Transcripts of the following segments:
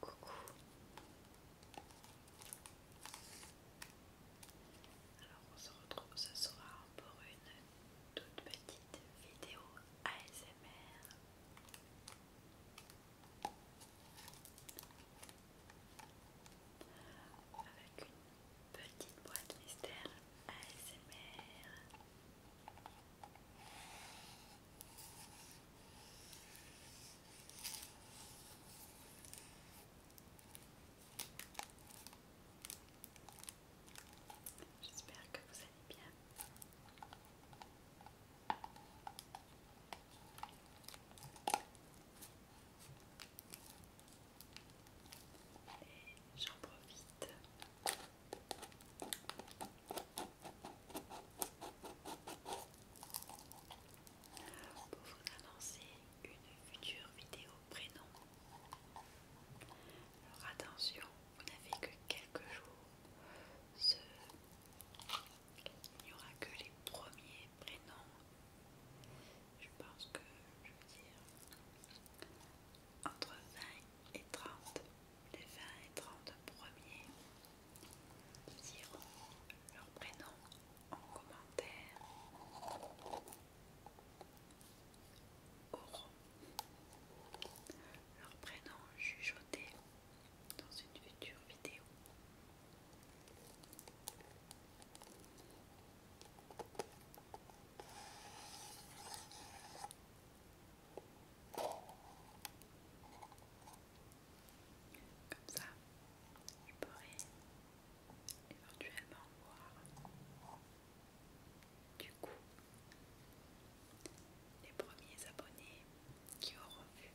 Coucou. Alors on se retrouve ce soir pour une toute petite vidéo ASMR. Avec une petite boîte mystère ASMR. J'espère que vous allez bien. Et j'en profite pour vous annoncer une future vidéo prénom. Alors attention, vous n'avez que quelques jours. Ce... Il n'y aura que les premiers prénoms. Je pense que, je veux dire, entre 20 et 30, les 20 et 30 premiers diront leur prénom en commentaire. Leur prénom dans une future vidéo. Comme ça, je pourrais éventuellement voir du coup, les premiers abonnés qui auront vu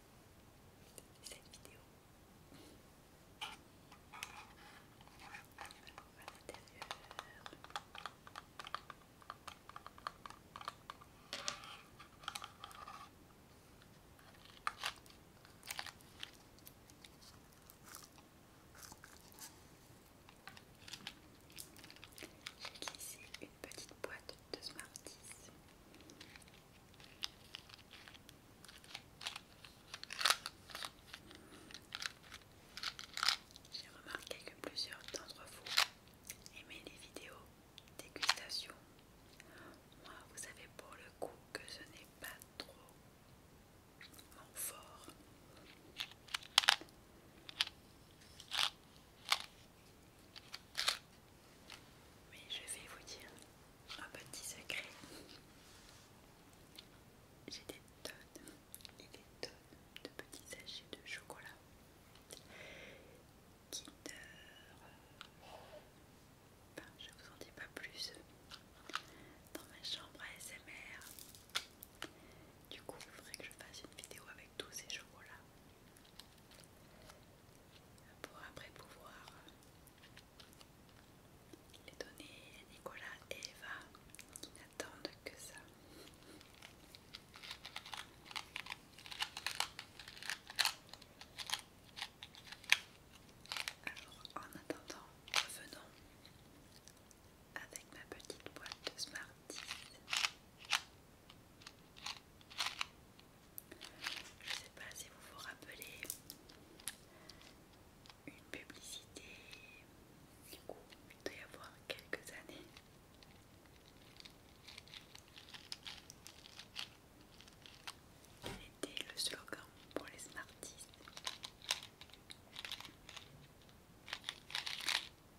cette vidéo j'ai glissé une petite boîte de Smarties. J'ai remarqué que plusieurs d'entre vous aimaient les vidéos dégustation. Moi, vous savez pour le coup que ce n'est pas trop en fort. Mais je vais vous dire un petit secret. J'ai des tonnes et des tonnes de petits sachets de chocolat. Kinder, je vous en dis pas plus. Dans ma chambre ASMR, du coup, il faudrait que je fasse une vidéo avec tous ces chevaux-là pour après pouvoir euh, les donner à Nicolas et Eva qui n'attendent que ça. Alors en attendant, revenons avec ma petite boîte de Smarties. Je ne sais pas si vous vous rappelez une publicité du coup il doit y avoir quelques années. Quel était le slogan pour les Smarties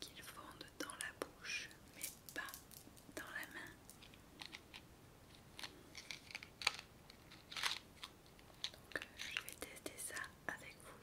qu'ils fondent dans la bouche mais pas dans la main. Donc euh, je vais tester ça avec vous.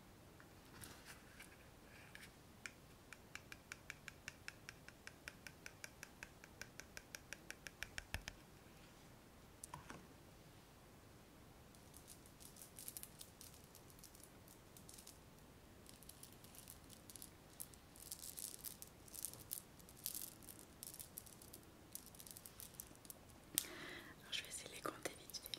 Alors, je vais essayer de les compter vite fait.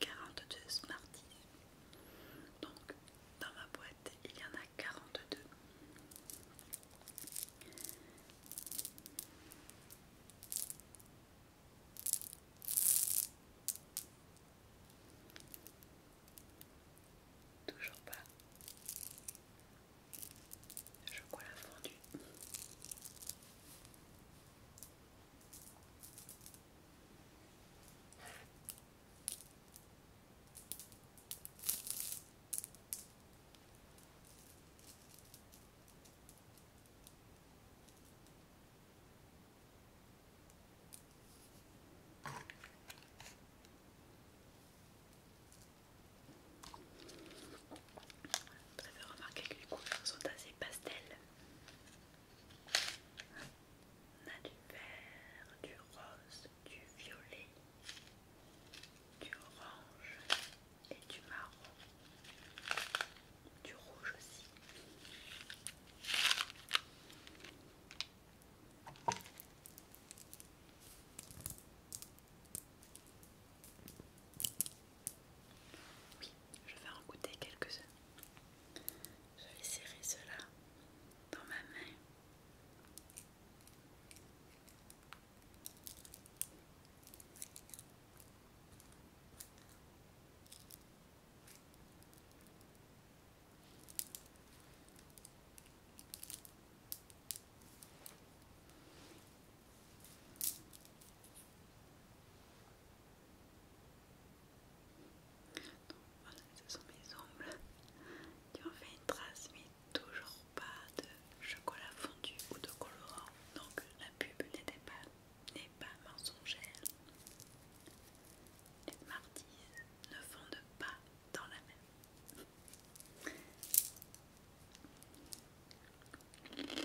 42 Smarties. Donc, dans ma boîte, il y en a 42. Toujours pas Je la fondue. Vous préfère remarqué que les couleurs sont assez pastel. On a du vert, du rose, du violet, du orange et du marron, du rouge aussi. Je vais en goûter quelques-uns. Je vais serrer cela dans ma main. Donc voilà, ce sont mes ongles qui ont fait une trace, mais toujours pas de chocolat fondu ou de colorant. Donc la pub pas, n'est pas mensongère. Les Marty ne fondent pas dans la même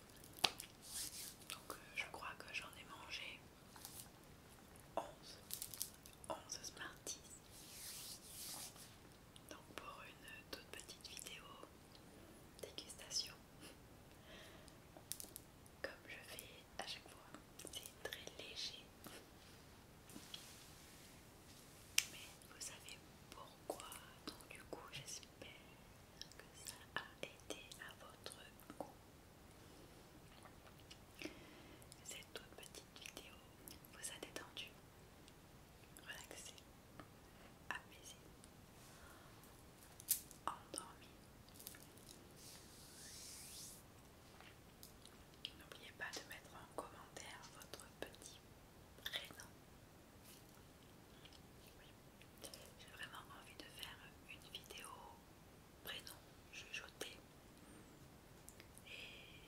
donc euh, je crois que j'en ai mangé 11. 11 Smarties. Donc pour une toute petite vidéo dégustation. Comme je fais à chaque fois, c'est très léger. Mais vous savez pourquoi, donc du coup j'espère J'espère que ça a été à votre goût. Cette toute petite vidéo vous a détendu, relaxé, apaisé, endormi. N'oubliez pas de mettre en commentaire votre petit prénom. J'ai vraiment envie de faire une vidéo prénom jugeoté et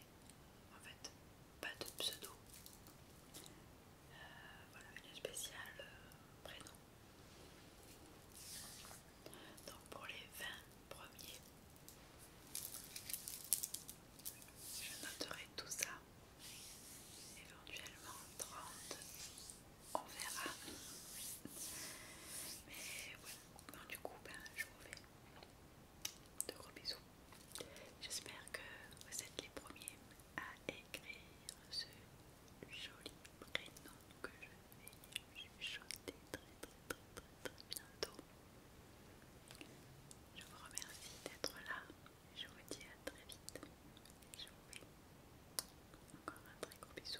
en fait pas de pseudo. Euh, voilà une spéciale euh, prénom. Donc pour les 20 premiers, je noterai tout ça, éventuellement 30, on verra. Mais voilà, du coup, ben, je vous fais de gros bisous. J'espère que vous êtes les premiers à écrire ce joli prénom que je vais chuchoter très très très très très bientôt. Je vous remercie d'être là. Je vous dis à très vite. Je vous fais encore un très gros bisou.